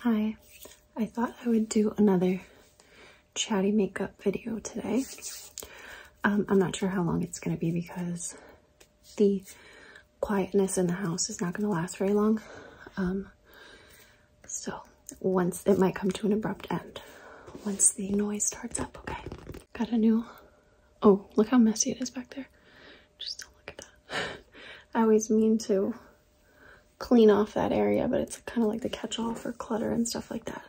Hi, I thought I would do another chatty makeup video today. Um, I'm not sure how long it's going to be because the quietness in the house is not going to last very long. Um, so once it might come to an abrupt end once the noise starts up, okay? Got a new, oh, look how messy it is back there. Just don't look at that. I always mean to clean off that area, but it's kind of like the catch-all for clutter and stuff like that.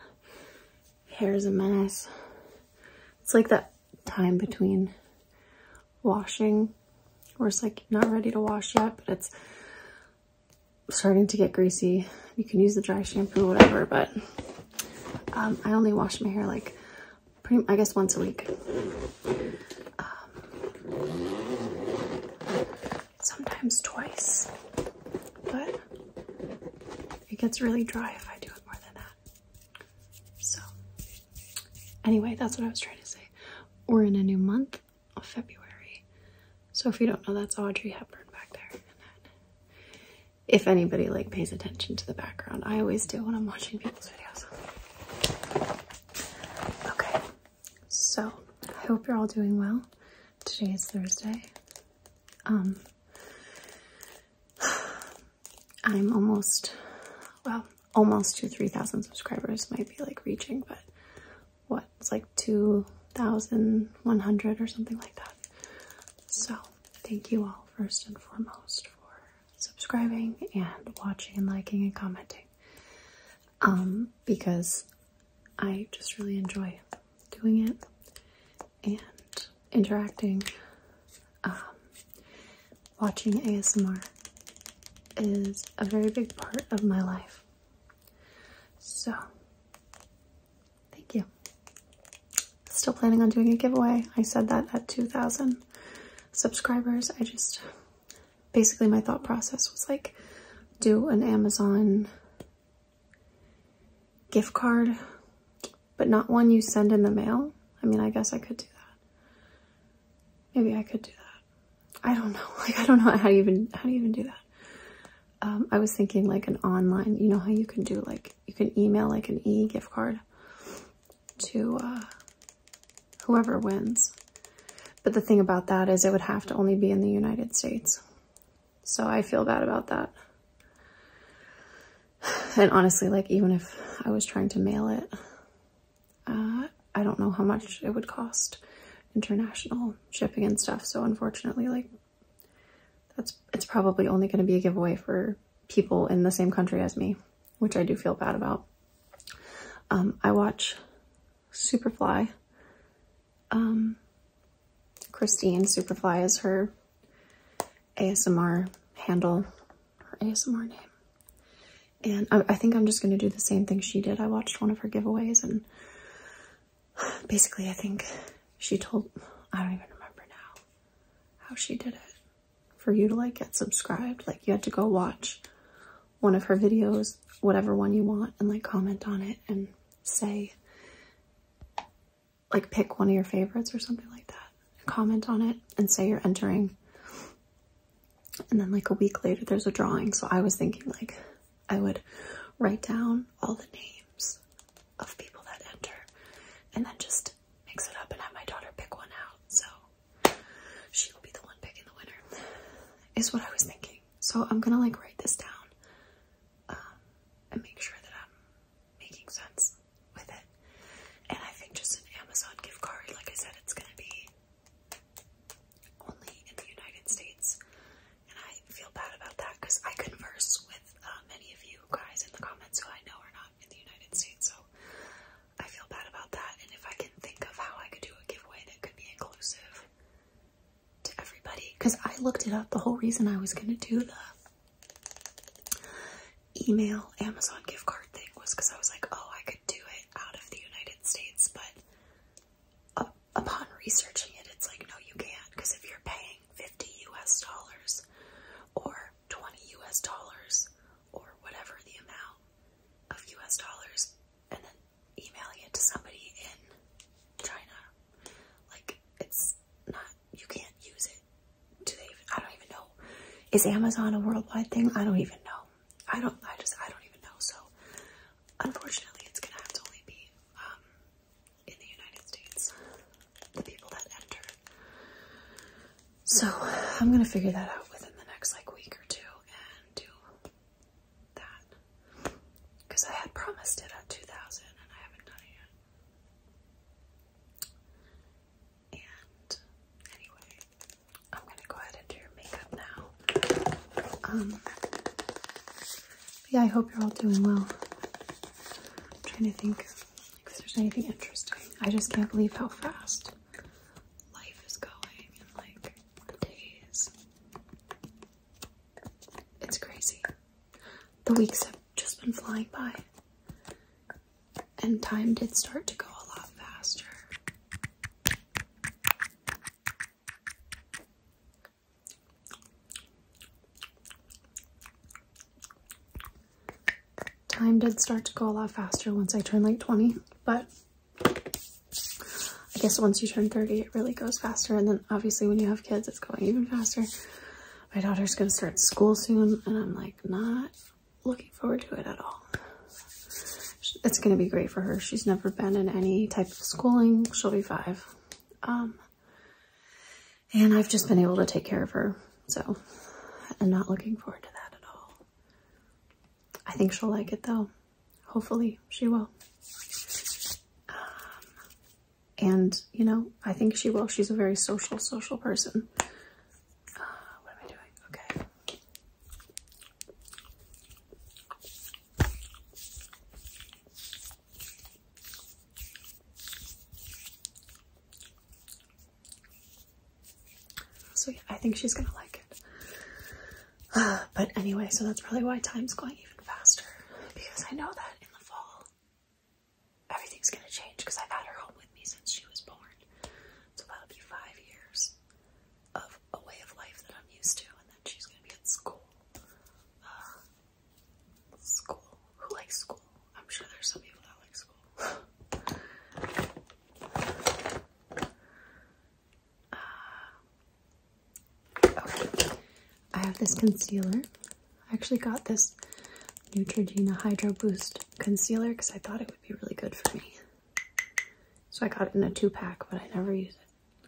Hair's a mess. It's like that time between washing, or it's like not ready to wash yet, but it's starting to get greasy. You can use the dry shampoo, whatever, but um, I only wash my hair like pretty, I guess once a week. Um, sometimes twice, but it gets really dry if I do it more than that. So anyway, that's what I was trying to say. We're in a new month of February. So if you don't know, that's Audrey Hepburn back there if anybody like pays attention to the background. I always do when I'm watching people's videos. Okay, so I hope you're all doing well. Today is Thursday. Um, I'm almost, well, almost to 3,000 subscribers might be like reaching, but what, it's like 2,100 or something like that. So thank you all first and foremost for subscribing and watching and liking and commenting um, because I just really enjoy doing it and interacting um, watching ASMR is a very big part of my life so Thank you. Still planning on doing a giveaway. I said that at 2,000 subscribers. I just, basically my thought process was like, do an Amazon gift card, but not one you send in the mail. I mean, I guess I could do that. Maybe I could do that. I don't know. Like, I don't know how to even, how to even do that. Um, I was thinking like an online, you know how you can do like you can email like an e-gift card to uh, whoever wins. But the thing about that is it would have to only be in the United States. So I feel bad about that. And honestly, like even if I was trying to mail it, uh, I don't know how much it would cost international shipping and stuff. So unfortunately, like that's it's probably only going to be a giveaway for people in the same country as me, which I do feel bad about. Um, I watch Superfly. Um, Christine Superfly is her ASMR handle, her ASMR name. And I think I'm just going to do the same thing she did. I watched one of her giveaways and basically, I think she told, I don't even remember now how she did it. For you to like get subscribed, like you had to go watch one of her videos, whatever one you want, and like comment on it and say, like pick one of your favorites or something like that. Comment on it and say you're entering. And then like a week later, there's a drawing. So I was thinking like I would write down all the names of people that enter and then just mix it up and have my daughter pick one out. So she will be the one picking the winner, is what I was thinking. So I'm gonna like write this down um, and make sure that I'm making sense with it. And I think just an Amazon gift card, like I said, it's gonna be only in the United States and I feel bad about that because I converse with uh, many of you guys in the comments who I know are not in the United States, so I feel bad about that. And if I can think of how I could do a giveaway that could be inclusive to everybody, because I looked it up, the whole reason I was gonna do the email Amazon gift card thing was because I was like, oh, I could do it out of the United States, but upon researching it, it's like, no, you can't, because if you're paying 50 US dollars or 20 US dollars or whatever the amount of US dollars and then emailing it to somebody in China, like, it's not, you can't use it. Do they I don't even know. Is Amazon a worldwide thing? I don't even know. I don't, I just, I don't even know. So, unfortunately, it's gonna have to only be, um, in the United States, the people that enter. So I'm gonna figure that out within the next like week or two and do that because I had promised it at 2,000 and I haven't done it yet. And anyway, I'm gonna go ahead and do your makeup now. Um, yeah, I hope you're all doing well. I'm trying to think if there's anything interesting. I just can't believe how fast life is going in like days. It's crazy. The weeks have just been flying by. And time did start to go a lot faster. Time did start to go a lot faster once I turned like 20, but I guess once you turn 30, it really goes faster. And then obviously when you have kids, it's going even faster. My daughter's going to start school soon, and I'm like not looking forward to it at all. It's going to be great for her. She's never been in any type of schooling. She'll be five. Um, and I've just been able to take care of her. So I'm not looking forward to that at all. I think she'll like it though. Hopefully she will. Um, and you know, I think she will. She's a very social, social person. Uh, what am I doing? Okay. So yeah, I think she's gonna like it. Uh, but anyway, so that's probably why time's going even faster because I know that in the fall everything's gonna change because I've had her home with me since she was born. So that'll be five years of a way of life that I'm used to, and then she's gonna be at school. Uh, school. Who likes school? I'm sure there's some people that like school. Uh, I have this concealer. I actually got this Neutrogena Hydro Boost concealer because I thought it would be really good for me. So I got it in a two pack, but I never use it. Okay.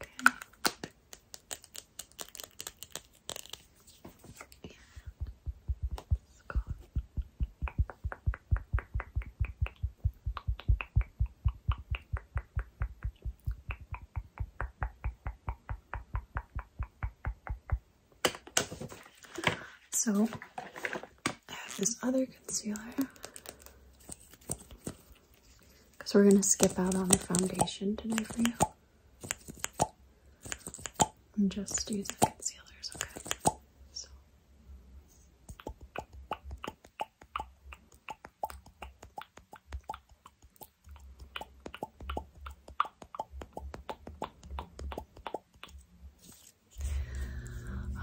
Yeah. It's gone. Okay. So I have this other concealer because we're going to skip out on the foundation today for you and just use the concealers, okay? So.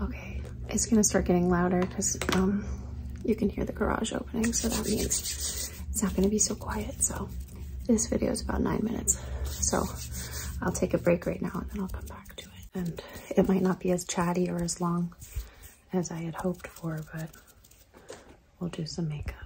Okay, it's gonna start getting louder because um, you can hear the garage opening, so that means it's not gonna be so quiet. So this video is about nine minutes. So I'll take a break right now and then I'll come back to it. And it might not be as chatty or as long as I had hoped for, but we'll do some makeup.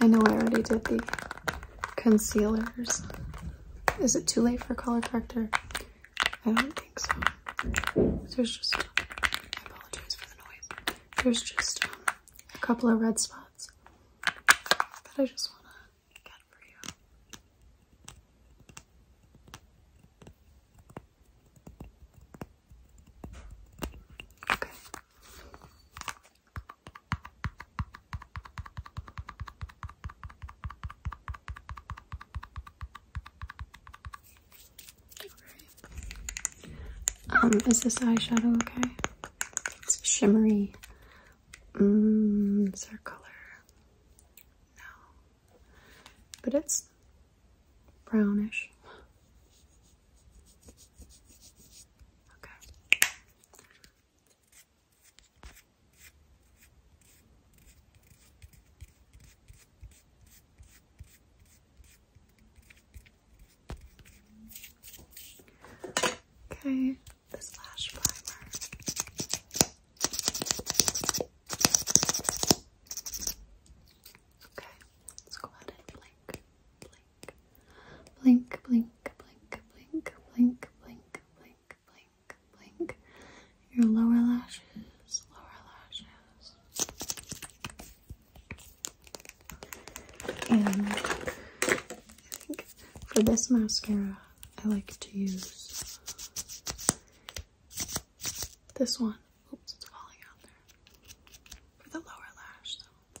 I know I already did the concealers. Is it too late for color corrector? I don't think so. There's just, I apologize for the noise. There's just um, a couple of red spots that I just want to get for you. Okay. Um, is this eyeshadow okay? It's shimmery. Mm, is there color? No. But it's brownish. Okay. Okay, this lash primer. Okay, let's go ahead and blink, blink, blink, blink, blink, blink, blink, blink, blink, blink, blink. Your lower lashes, lower lashes. And I think for this mascara, I like to use this one. Oops, it's falling out there. For the lower lash, though.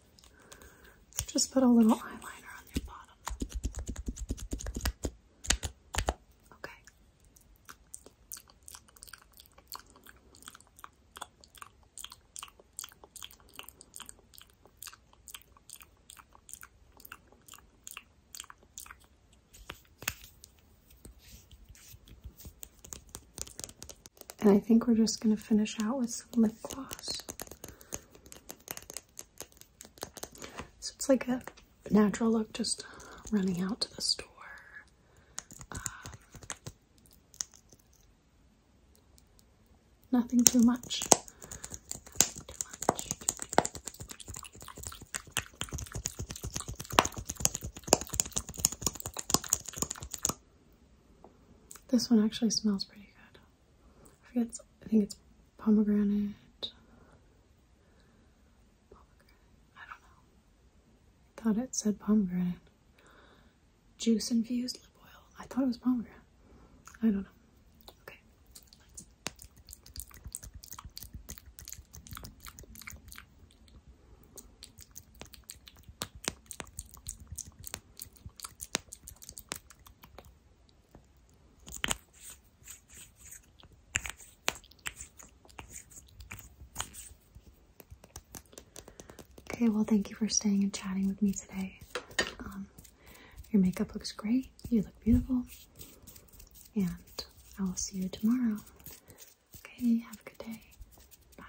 Just put a little eyeliner on the bottom. Okay. And I think we're just going to finish out with some lip gloss. So it's like a natural look just running out to the store. Um, nothing too much. This one actually smells pretty good. I think it's pomegranate. I don't know. thought it said pomegranate. Juice infused lip oil. I thought it was pomegranate. I don't know. Okay. Okay, well, thank you for staying and chatting with me today. Um, your makeup looks great. You look beautiful. And I will see you tomorrow. Okay, have a good day. Bye.